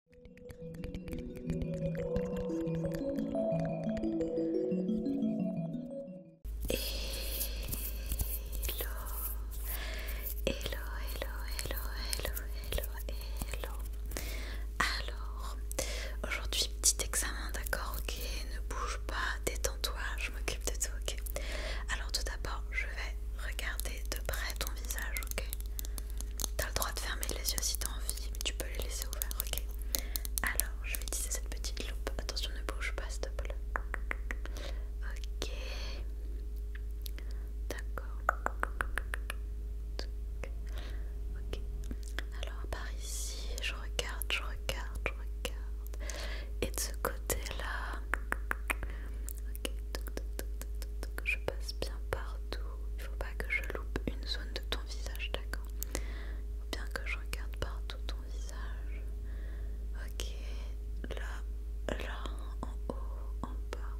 hello, hello, hello, hello, hello. Alors, aujourd'hui, petit examen, d'accord, ok, ne bouge pas, détends-toi, je m'occupe de tout, ok. Alors tout d'abord, je vais regarder de près ton visage, ok. T'as le droit de fermer les yeux si t'as envie, mais tu peux les laisser ouverts, ok Alors, je vais utiliser cette petite loupe. Attention, ne bouge pas, s'il te plaît. Ok. D'accord. Ok. Alors, par ici, je regarde, je regarde, je regarde. Et de ce côté-là, Ok, je passe bien partout. Il faut pas que je loupe une zone de ton visage, d'accord Il faut bien que je regarde partout ton visage. Ok, là, là, en haut, en bas,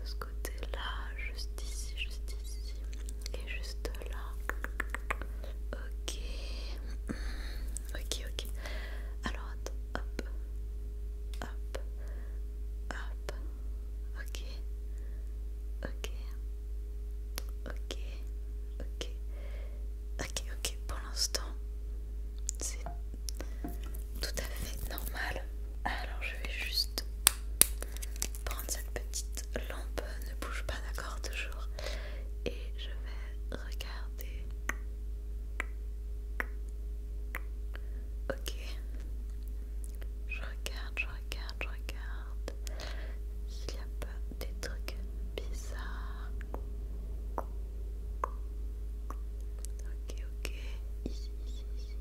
de ce côté-là, juste ici, juste ici, et juste là. Ok, ok, ok. Alors attends, hop, hop, hop, ok, ok, ok, ok, ok, ok, pour l'instant, c'est tout à fait normal. Alors je vais juste prendre cette petite lampe, ne bouge pas d'accord toujours, et je vais regarder. Ok. Je regarde, je regarde, je regarde. S'il n'y a pas des trucs bizarres. Ok, ok. Ici, ici, ici.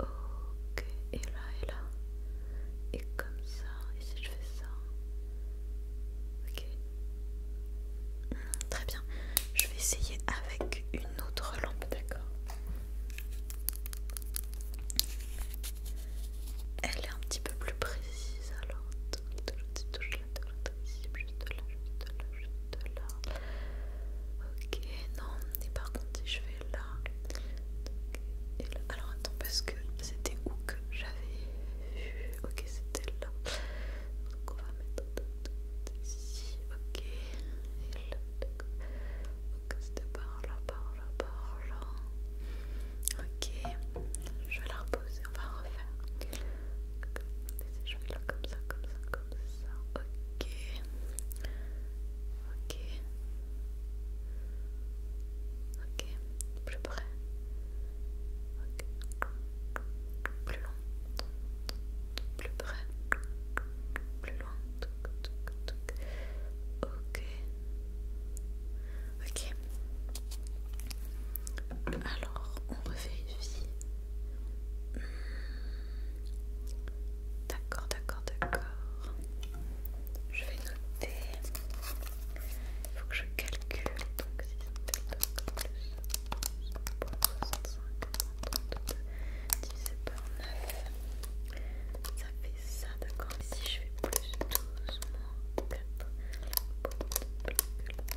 Ok. Et là, et là. Et comme ça. Et si je fais ça. Ok très bien. Je vais essayer avec une autre lampe, d'accord Elle est un petit peu plus précise alors. Ok, non, et par contre si je vais là alors attends parce que c'était où que j'avais vu, ok c'était là, donc on va mettre ici, ok. Et là, ok, c'était par là, par là, par là. Ok, je vais la reposer, on va refaire. je vais comme ça, comme ça, comme ça. Ok. Ok. Ok, plus près. Ok, plus loin, plus près, plus loin. Ok, ok. Alors, on revérifie. Hmm. D'accord, d'accord, d'accord. Je vais noter. Il faut que je calcule donc si plus divisé par 9, ça fait ça, d'accord Si je fais plus doucement moins 4, Divisé par 9,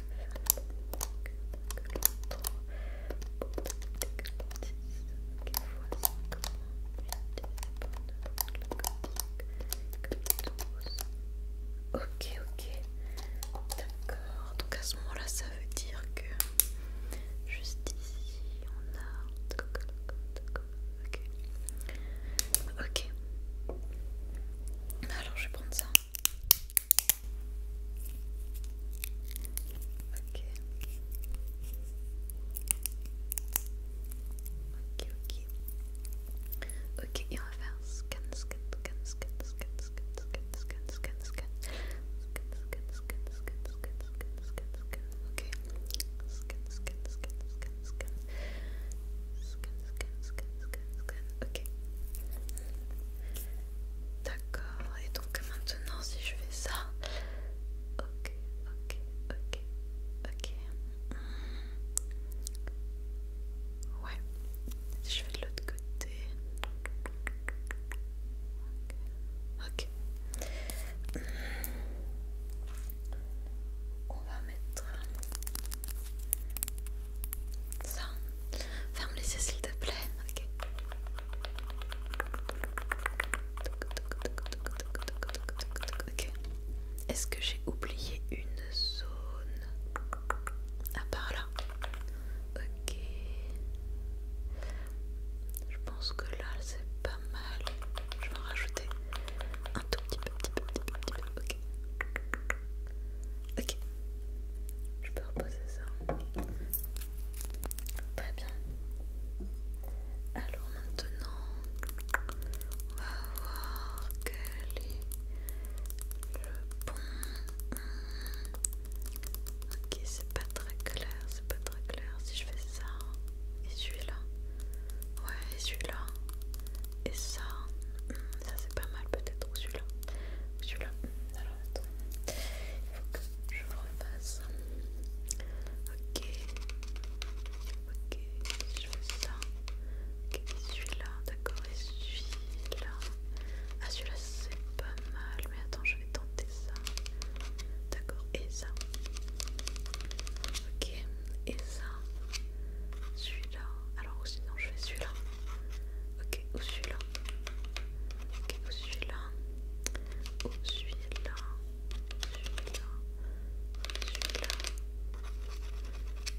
Ok, ok. D'accord. Donc à ce moment-là, ça veut dire que juste ici, on a... Ok. Ok. Alors je vais prendre ça. Ok. Ok, ok. Ok, et on scan, scan, scan, scan, d'accord et donc maintenant si je fais ça ok ok ok ok Ouais, je vais de l'autre côté. Ok. On va mettre ça. Ferme les yeux s'il te plaît. Ok. Est-ce que j'ai oublié une zone à part là. Ok. Je pense que là c'est pas mal. Je vais rajouter un tout petit peu, petit peu, petit peu, petit peu. Ok. Ok. Je peux reposer ça. Très bien. Alors maintenant, on va voir que le pont. Ok, c'est pas très clair, c'est pas très clair si je fais ça et celui-là. Ouais, et celui-là. Et ça, ça c'est pas mal peut-être, ou celui-là. Ou celui-là. Alors il faut que je refasse. Ok, ok, je fais ça. Ok, celui-là, d'accord, et celui-là. Ah, celui-là, c'est pas mal, mais attends, je vais tenter ça. D'accord, et ça. Ok, et ça. Celui-là. Alors, ou sinon, je fais celui-là. Ok, ou celui-là. Ok, ou celui-là. Ou celui-là. Celui-là. Celui-là.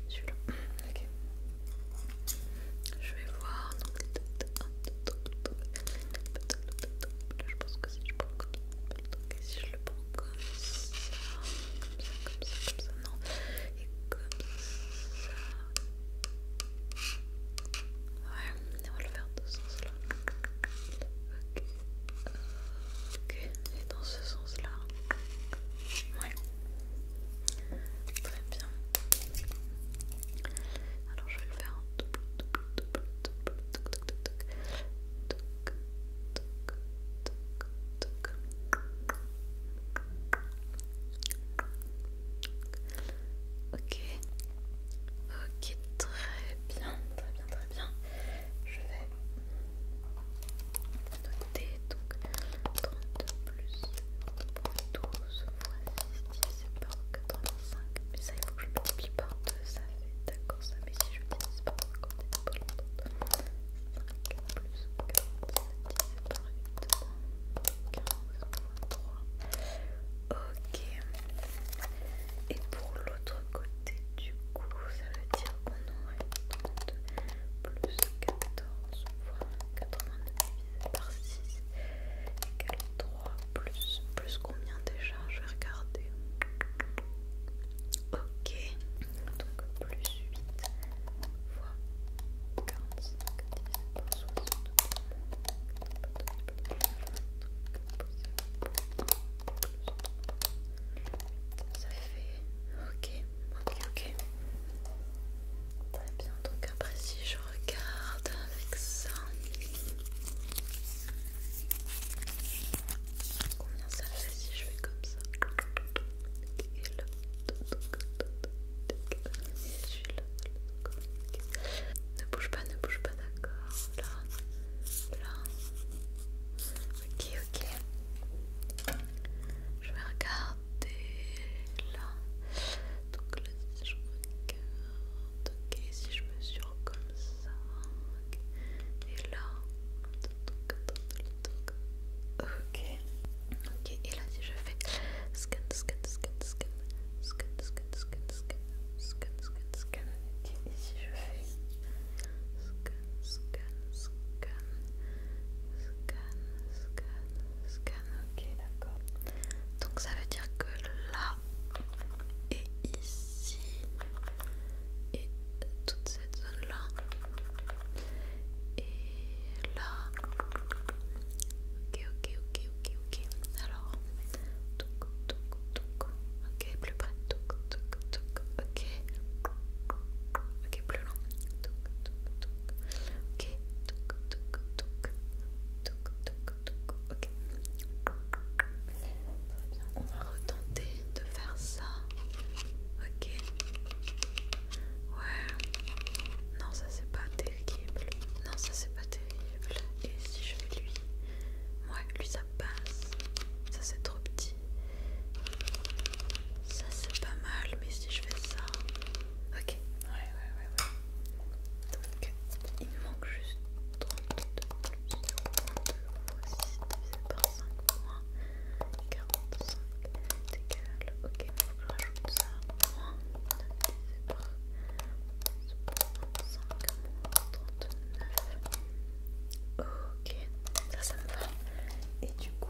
Celui-là. Ok. Je vais voir. Je pense que si je prends comme si je le prends comme ça, comme ça, comme ça, comme ça, non, et comme ça. Ouais, on va le faire de ce sens-là. Ok. Ok, et dans ce sens-là. Oui, Très bien. Alors je vais le faire en double, double, double, double, toc, toc, toc, Ok. Ok, très bien, très bien, très bien je vais noter donc 32 plus 12 fois 6 divisé par 85 mais ça il faut que je multiplie par 2 ça fait d'accord ça mais si je divise par 50 c'est pas longtemps 5 plus 47 c'est par ok et pour l'autre côté et du coup ça veut dire qu'on aurait 32 plus 14 fois 89 par 6 égale 3 plus, combien déjà je vais regarder ok donc plus 8 fois 45 10 60 donc, ça fait... Ok, ok, ok. Très bien, donc après si je regarde avec ça... Combien ça fait si je fais comme ça là Ne bouge pas, ne bouge pas, d'accord là, là. Ok, ok. Je vais regarder là. Donc là, si je regarde, ok, si je me comme ça. ok, Et là. Ok. Ok, et là si je fais scan, scan, scan, scan, scan, scan, scan, scan, scan, scan, scan, scan. Ok, ici je fais scan, scan, scan, scan, scan, scan. Ok, d'accord. Donc ça veut dire que là et ici et toute cette zone là et là. Ok, ok, ok, ok, ok. Alors, toc, toc, donc, ok, plus près, toc, toc, toc, ok, ok, plus long, toc, toc, toc, ok, toc, toc, toc, toc, ok. on va retenter de faire ça, ok, ouais, non ça c'est pas terrible, non ça c'est pas terrible, et si je vais lui Ouais, lui ça passe. Ça c'est trop petit. Ça c'est pas mal, mais si je fais ça. Ok, ouais, ouais, ouais, ouais. Donc il me manque juste 32 par 5 45 Ok, il faut que je rajoute ça. Moins 9 divisé par Ok, ça ça me va. Et du coup,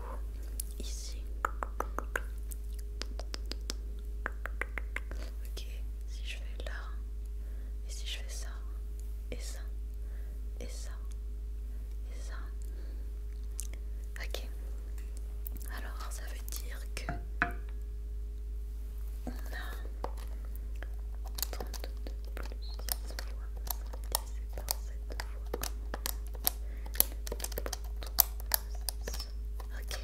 ici. Ok, si je fais là, et si je fais ça, et ça, et ça, et ça. Ok. Alors ça veut dire que plus Ok.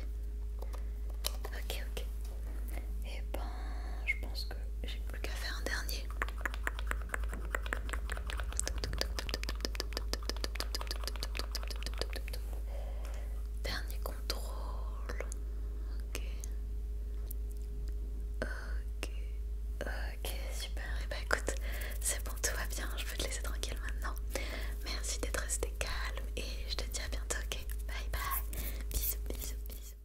Ok, ok. Et ben, je pense que j'ai plus qu'à faire un dernier. Dernier contrôle. Ok. Ok. super. Et eh bah ben, écoute, c'est bon, tout va bien. Je peux te laisser tranquille maintenant. Merci d'être resté calme et je te dis à bientôt, ok Bye bye. Bisous, bisous, bisous.